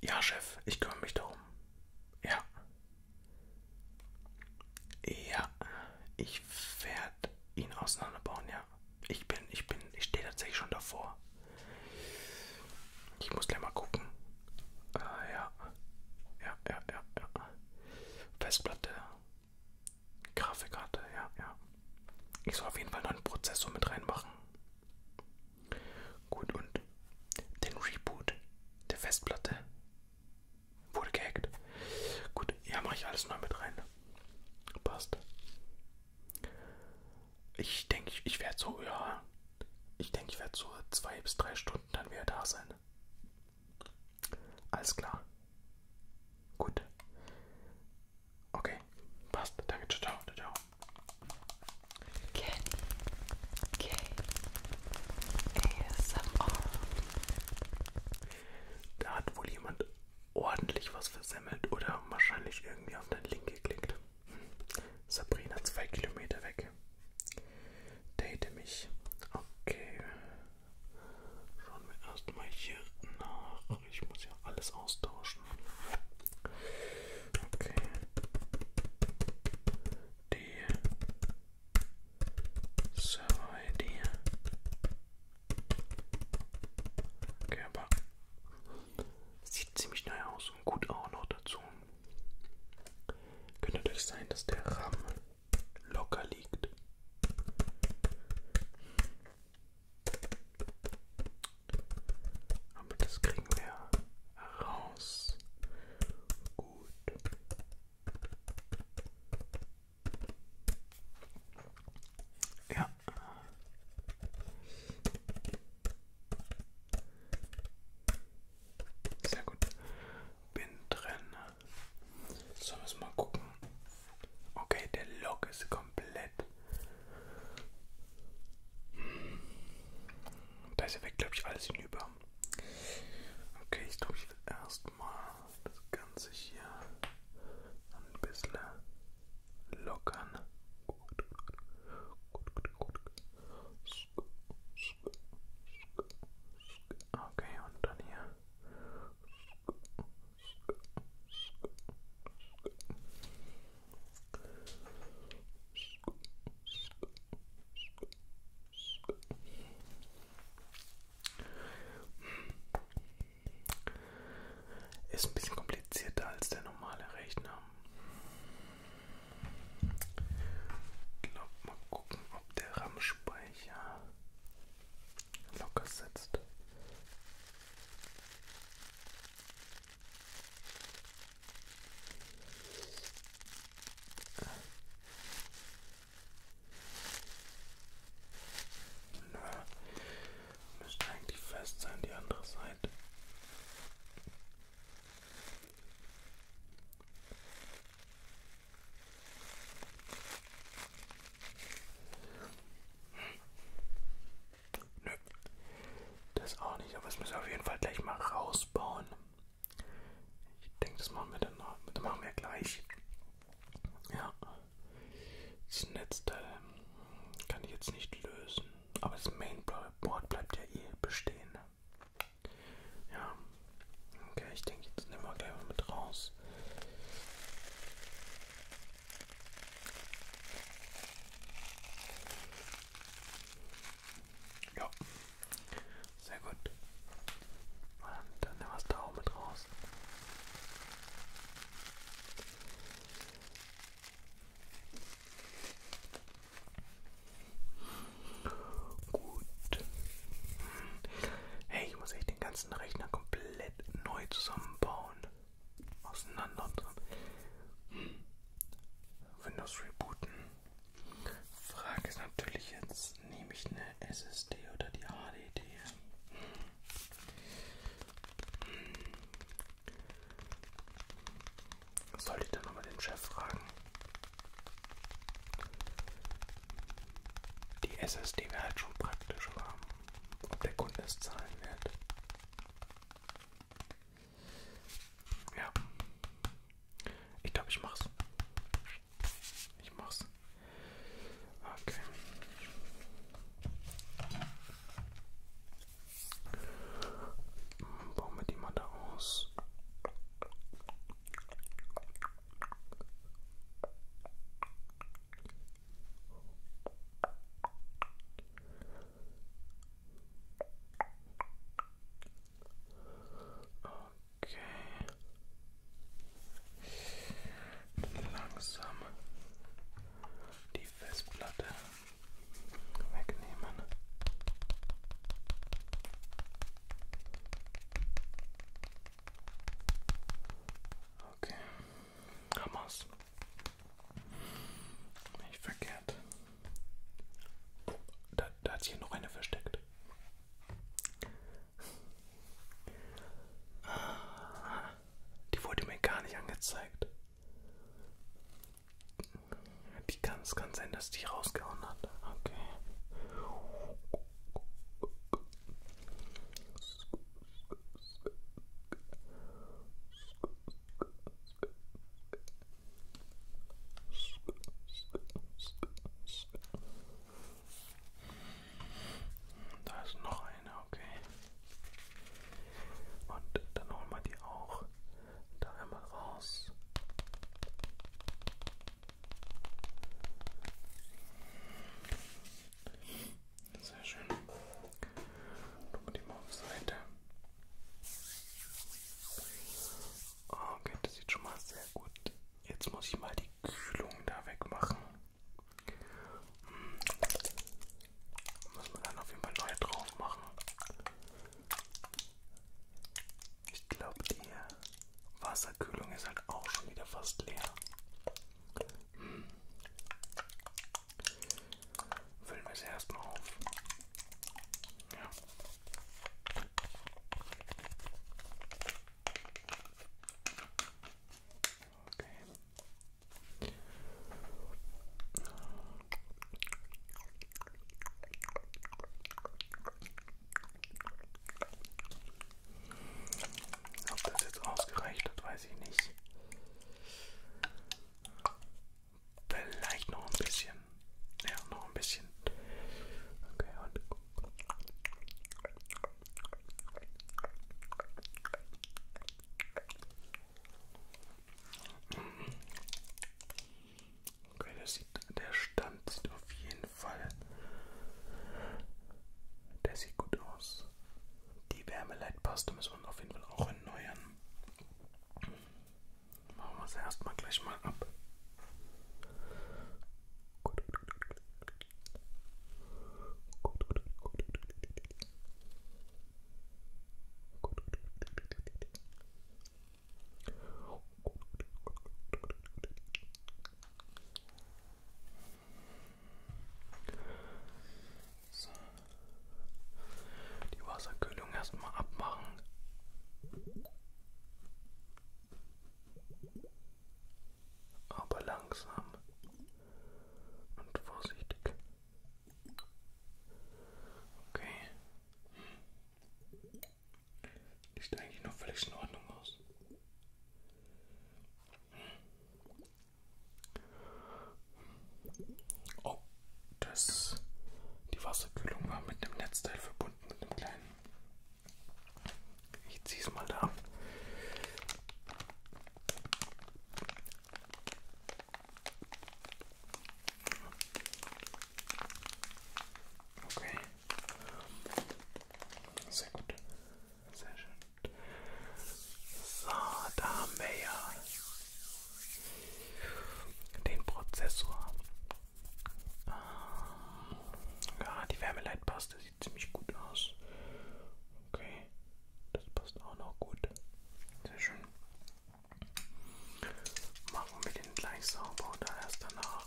Ja, Chef, ich kümmere mich darum. Ja. Ja, ich werde ihn auseinanderbauen, ja. Ich bin, ich bin, ich stehe tatsächlich schon davor. Ich muss gleich mal gucken. Äh, ja. Ja, ja, ja, ja. Festplatte. Grafikkarte, ja, ja. Ich soll auf jeden Fall noch einen Prozessor mit reinmachen. Gut, und den Reboot der Festplatte wurde gehackt. Gut, ja, mache ich alles neu mit rein. Passt. Ich denke, ich werde so, ja, ich denke, ich werde so zwei bis drei Stunden dann wieder da sein. Alles klar. Gut. Okay, passt. Danke, ciao, ciao. ciao. Kenny K ASMR. Da hat wohl jemand ordentlich was versemmelt oder wahrscheinlich irgendwie auf den Link geklickt. Sabrina zwei Kilometer weg. Date mich. Okay. Schauen wir erstmal hier nach. Ich muss ja alles austauschen. Okay. Die Server-ID. Okay, aber sieht ziemlich neu aus und gut auch noch dazu. Könnte natürlich sein, dass der RAM locker liegt. Aber das kriegen wir raus. Gut. Ja. Sehr gut. Bin drin. So, müssen wir mal gucken. Okay, der Lock ist komplett. Da ist ja weg, glaube ich, alles hinüber. Okay, ich glaube, ich will erstmal das Ganze hier ein bisschen lockern. Gut, gut, gut, gut. Okay, und dann hier. Ist ein bisschen komplizierter als der normale Rechner. Ich glaube, mal gucken, ob der RAM-Speicher locker sitzt. Na, müsste eigentlich fest sein, die andere Seite. Nö, das auch nicht, aber das müssen wir auf jeden Fall gleich mal rausbauen. Ich denke, das machen wir dann noch. Das machen wir gleich. Ja. Das Netzteil ähm, kann ich jetzt nicht lösen. Aber das Mainboard bleibt ja eh bestehen. Ja. Okay, ich denke, jetzt nehmen wir gleich mal mit raus. Ja, sehr gut. Und dann nehmen wir es da auch mit raus. Gut. Hey, ich muss echt den ganzen Rechner komplett neu zusammenbauen. Auseinander. Windows rebooten. Frage ist natürlich jetzt, nehme ich eine SSD oder die HDD? Sollte ich dann nochmal den Chef fragen? Die SSD wäre halt schon praktisch, aber ob der Kunde es zahlen wird. Ja. Ich glaube, ich mach's. Ich mach's. Okay. Hm, bauen wir die mal da aus. Okay. Langsam die Festplatte wegnehmen. Okay, Hamas. Nicht verkehrt. Da, da hat sich ja noch einer versteckt. Ah, die wurde mir gar nicht angezeigt. Die kann es kann sein, dass die rausgehauen hat. Okay. Da ist noch eine, okay. Und dann holen wir die auch da einmal raus. Sehr schön. Gucken wir die mal auf Seite. Okay, das sieht schon mal sehr gut. Jetzt muss ich mal die Kühlung da wegmachen. Hm. Muss man dann auf jeden Fall neu drauf machen. Ich glaube, die Wasserkühlung ist halt auch schon wieder fast leer. Hm. Füllen wir sie erstmal auf. Ja. Okay. Ob das jetzt ausgereicht hat, weiß ich nicht. Vielleicht noch ein bisschen. Ja, noch ein bisschen. Okay, und. Okay, das sieht, der Stand sieht auf jeden Fall. Der sieht gut aus. Die Wärmeleitpaste müssen wir auf jeden Fall auch erneuern. Machen wir es erstmal gleich mal ab. Gut. Gut, gut, gut. Gut, gut, so. Die Wasserkühlung erstmal abmachen aber langsam und vorsichtig. Okay. Hm. Sieht eigentlich noch völlig in Ordnung aus. Hm. Oh, das, die Wasserkühlung war mit dem Netzteil verbunden verbunden mit dem kleinen. Ich ziehe es mal da. Okay. Sehr gut. Sehr schön. So, da haben wir ja den Prozessor ja, ah, die Wärmeleitpaste sieht ziemlich gut aus. Okay, das passt auch noch gut. Sehr schön. Machen wir den gleich sauber oder erst danach?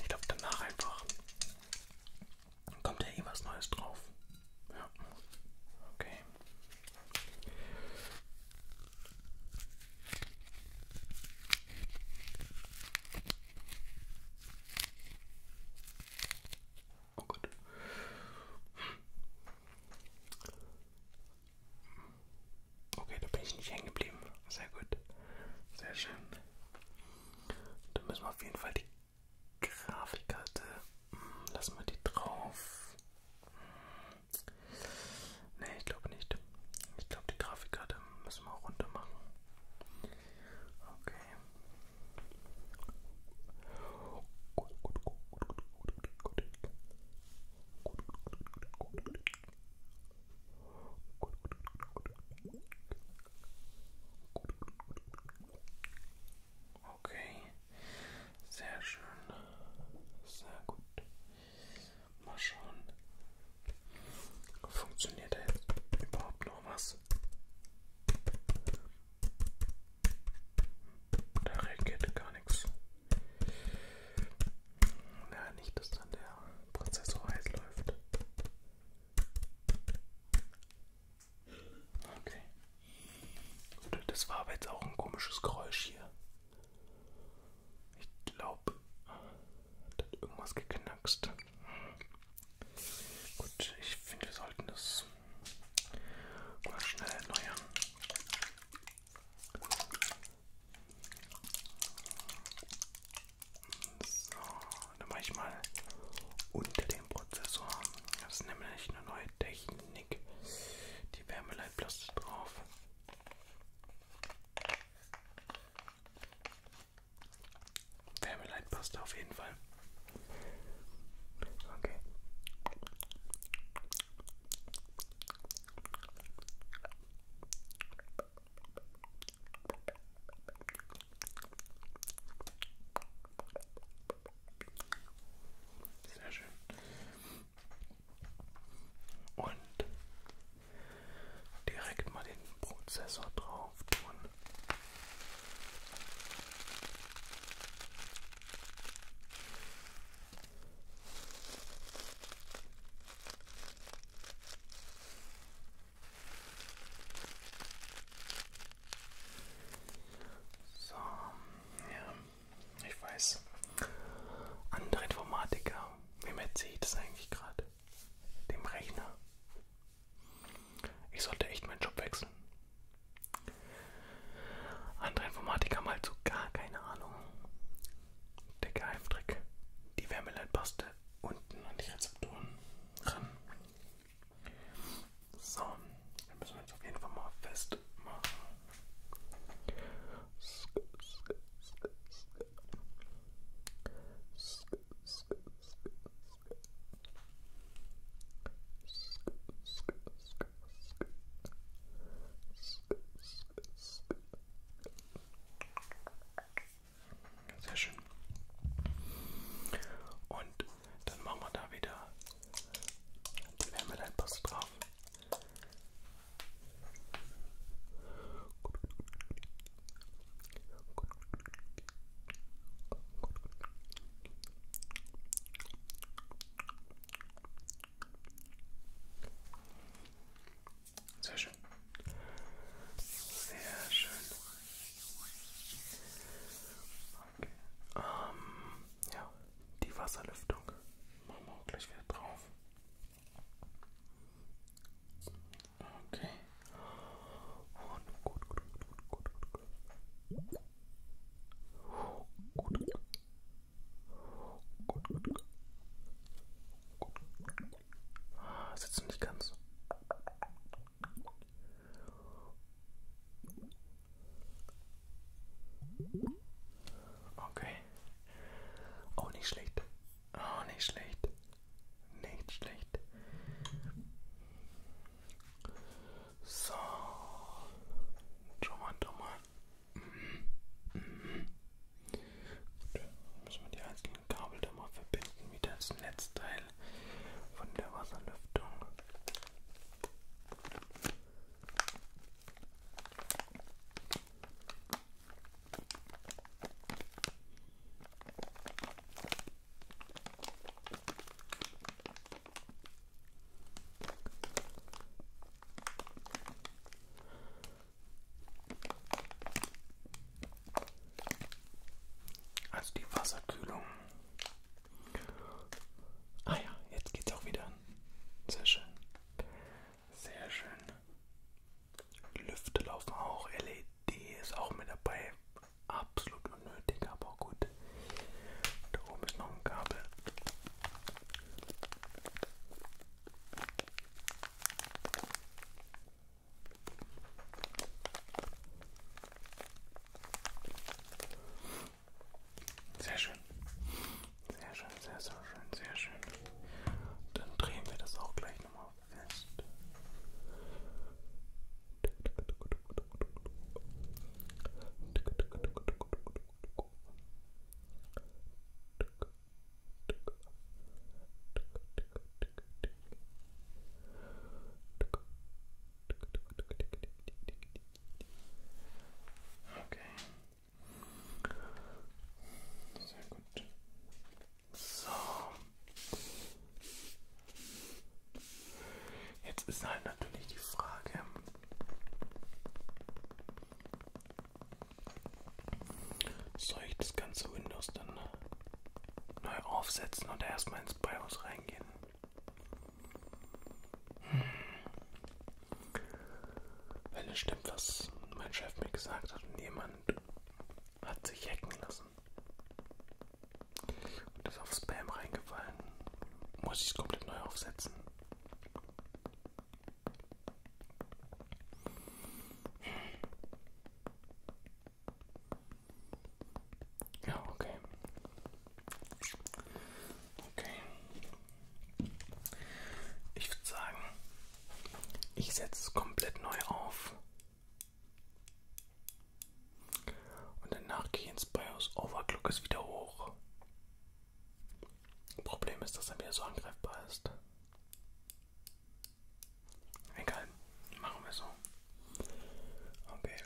Ich glaube danach einfach. Dann kommt ja eh was Neues drauf. Ja. Okay. Oh Gott. Okay, da bin ich nicht hängen geblieben. Sehr gut. Sehr schön. Da müssen wir auf jeden Fall die Grafikkarte. Hm, lassen wir die drauf. Ne, ich glaube nicht. Ich glaube, die Grafikkarte müssen wir auch runter machen. Okay. Gut, gut, gut, gut, gut, gut, gut. Gut, gut, gut, gut. Gut, gut, gut, gut. Gut, gut, gut. Okay. Sehr schön. Sehr gut. Mal schauen. Funktioniert da jetzt überhaupt noch was? Da reagiert gar nichts. Ja, nicht, dass dann der Prozessor heiß läuft. Okay. Das war aber jetzt auch ein komisches Geräusch hier. Ich glaube, da hat irgendwas geknackst. Gut, ich finde, wir sollten das mal schnell erneuern. So, dann mache ich mal unter dem Prozessor. Das ist nämlich eine neue Technik. Die Wärmeleitplaste drauf. Wärmeleitpasta auf jeden Fall. Okay. Sehr schön. Und direkt mal den Prozessor drauf tun. So, ja. Ich weiß. Andere Informatiker. Wem erzähle ich das eigentlich gerade? Dem Rechner. Ich sollte echt meinen Job wechseln. Andere Informatiker haben halt so gar keine Ahnung. Der Geheimtrick. Die Wärmeleitpaste unten an die Rezeptoren ran. So, dann müssen wir jetzt auf jeden Fall mal festmachen. Sehr schön. Und dann machen wir da wieder die Wärmeleitpaste drauf. Sehr schön. Sehr schön. Okay. Ähm, ja, die Wasserlüftung machen wir auch gleich wieder drauf. Okay. Und gut, gut, gut, gut, gut. Gut. Gut, gut, gut. Ah, sitzt nicht ganz. Okay. Auch oh, nicht schlecht. Auch oh, nicht schlecht. Nicht schlecht. So. Schau mal, schau mal. Mhm. Mhm. Gut. Müssen wir die einzelnen Kabel da mal verbinden, wieder das Netzteil von der Wasserlüftung. Also die Wasserkühlung. Ah ja, jetzt geht's auch wieder an. Sehr schön. Sehr schön. Lüfte laufen auch, LED ist auch mit dabei. Absolut unnötig, aber gut. Da oben ist noch ein Kabel. Sehr schön. Sehr schön, sehr, sehr schön, sehr schön. Dann drehen wir das auch gleich nochmal fest. Okay, sehr gut. So. Jetzt ist halt natürlich die Frage, soll ich das ganze Windows dann neu aufsetzen oder erstmal ins BIOS reingehen? Hm. Weil es stimmt, was mein Chef mir gesagt hat und jemand hat sich hacken lassen und ist auf Spam reingefallen. Muss ich es komplett neu aufsetzen? Ja, okay. Okay, ich würde sagen, ich setze es komplett neu auf. Und danach gehe ich ins BIOS. Overclock oh, ist wieder hoch. Problem ist, dass er wieder so angreifbar ist. Egal, machen wir so. Okay.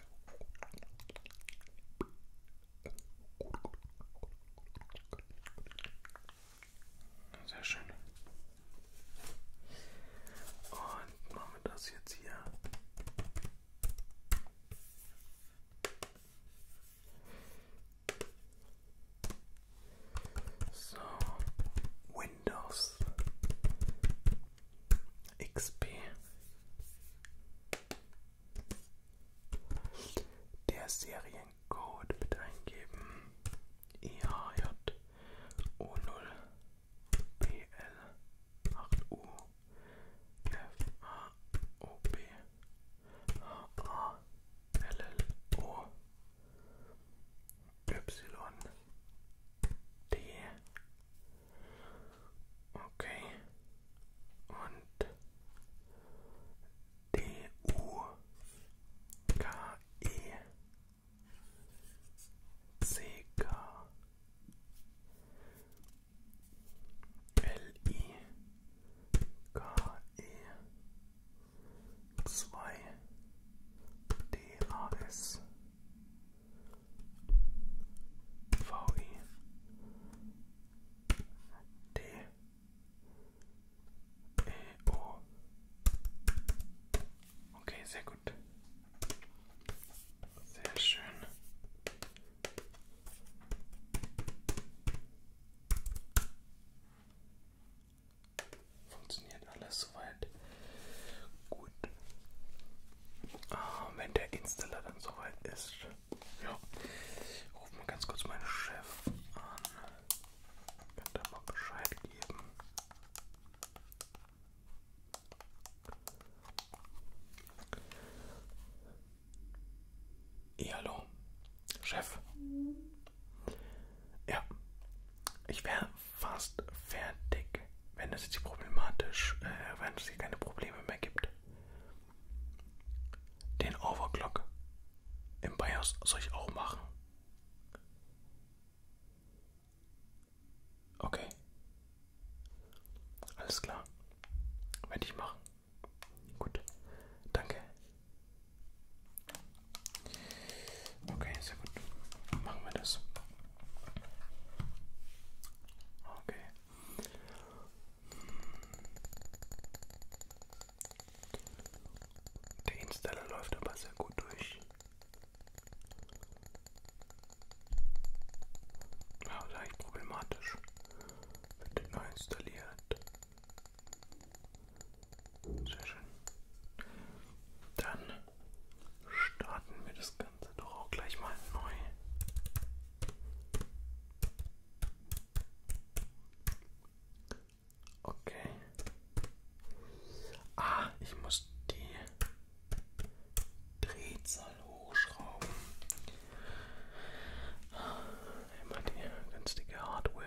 Sehr schön. Und machen wir das jetzt hier. So, Windows XP. Der Serien Code mit eingeben. IHJO0PL8U FAOB HALLO YD. Okay. Und D U K E C K L I K E zwei E, O. Okay, sehr gut. Sehr schön. Funktioniert alles soweit gut. Ah, wenn der Installer dann soweit ist, ja, ruf mal ganz kurz meinen Chef an. Könnt ihr mal Bescheid geben. Ja, hallo, Chef. Ja, ich wäre fast fertig, wenn es jetzt problematisch, äh, wenn es hier keine Probleme mehr gibt. Den Overclock im BIOS soll ich auch machen. Okay. Alles klar. Werde ich machen. Gut. Danke. Okay, sehr gut. Machen wir das. Okay. Der Installer läuft aber sehr gut durch. Ja, leicht problematisch. Wird neu installiert. Sehr schön. Dann starten wir das Ganze doch auch gleich mal neu. Okay. Ah, ich muss die Drehzahl hochschrauben. Immer die günstige Hardware.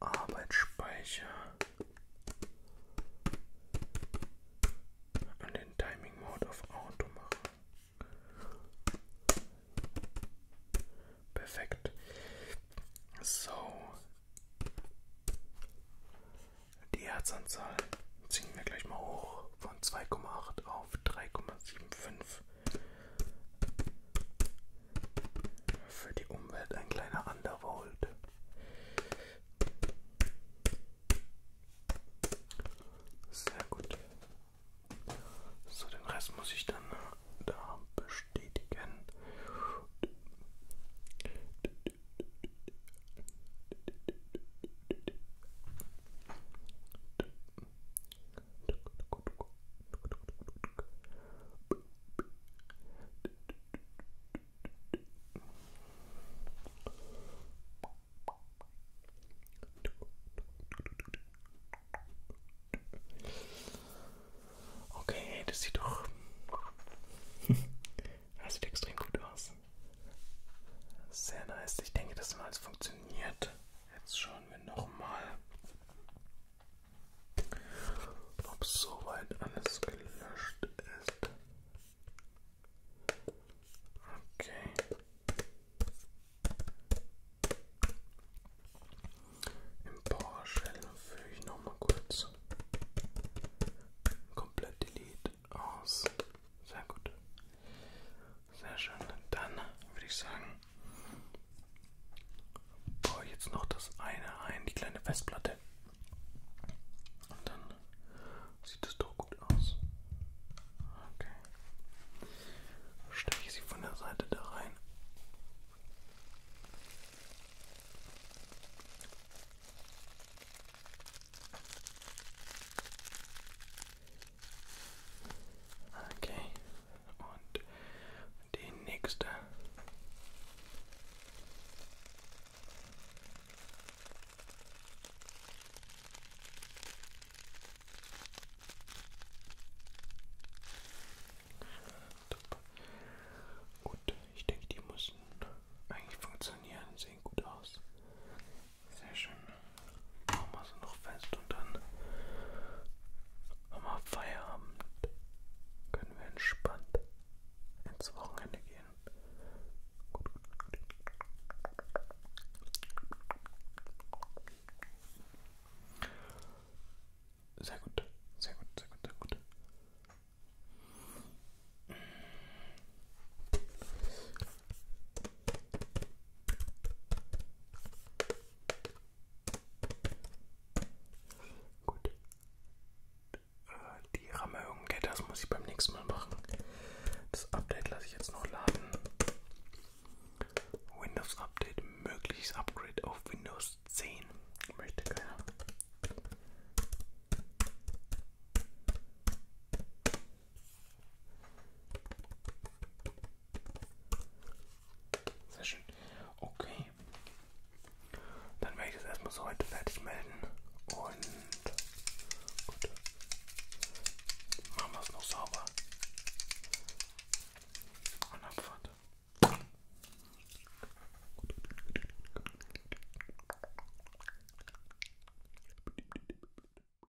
Arbeitsspeicher und den Timing Mode auf Auto machen. Perfekt. So. Die Herzanzahl ziehen wir gleich mal hoch von 2,8 auf 3,75. Für die Umwelt ein kleiner Undervolt. Sehr gut. So, den Rest muss ich dann da bestätigen. Okay, das sieht doch. das sieht extrem gut aus. Sehr nice. Ich denke, das mal funktioniert. Jetzt schauen wir nochmal, ob soweit alles gelöscht ist. Okay. Im PowerShell füge ich nochmal kurz komplett delete aus. Sehr gut. Sehr schön. Dann würde ich sagen, boah, jetzt noch das eine ein, die kleine Festplatte. Und dann sieht es doch gut aus. Okay. Stecke ich sie von der Seite da rein. Okay, und die nächste. Gut, ich denke, die müssen eigentlich funktionieren, sehen gut aus. Sehr schön. Machen wir sie noch fest und dann haben wir Feierabend. Können wir entspannt ins Wochenende gehen. Sehr gut, sehr gut, sehr gut, sehr gut. Gut. Äh, die Rammerhöhung, das muss ich beim nächsten Mal machen. Das Update lasse ich jetzt noch laden. Windows Update, mögliches Upgrade auf Windows 10. Möchte keiner. Sehr schön. Okay. Dann werde ich das erstmal so heute fertig melden. Und gut. Machen wir es noch sauber. Und Abfahrt.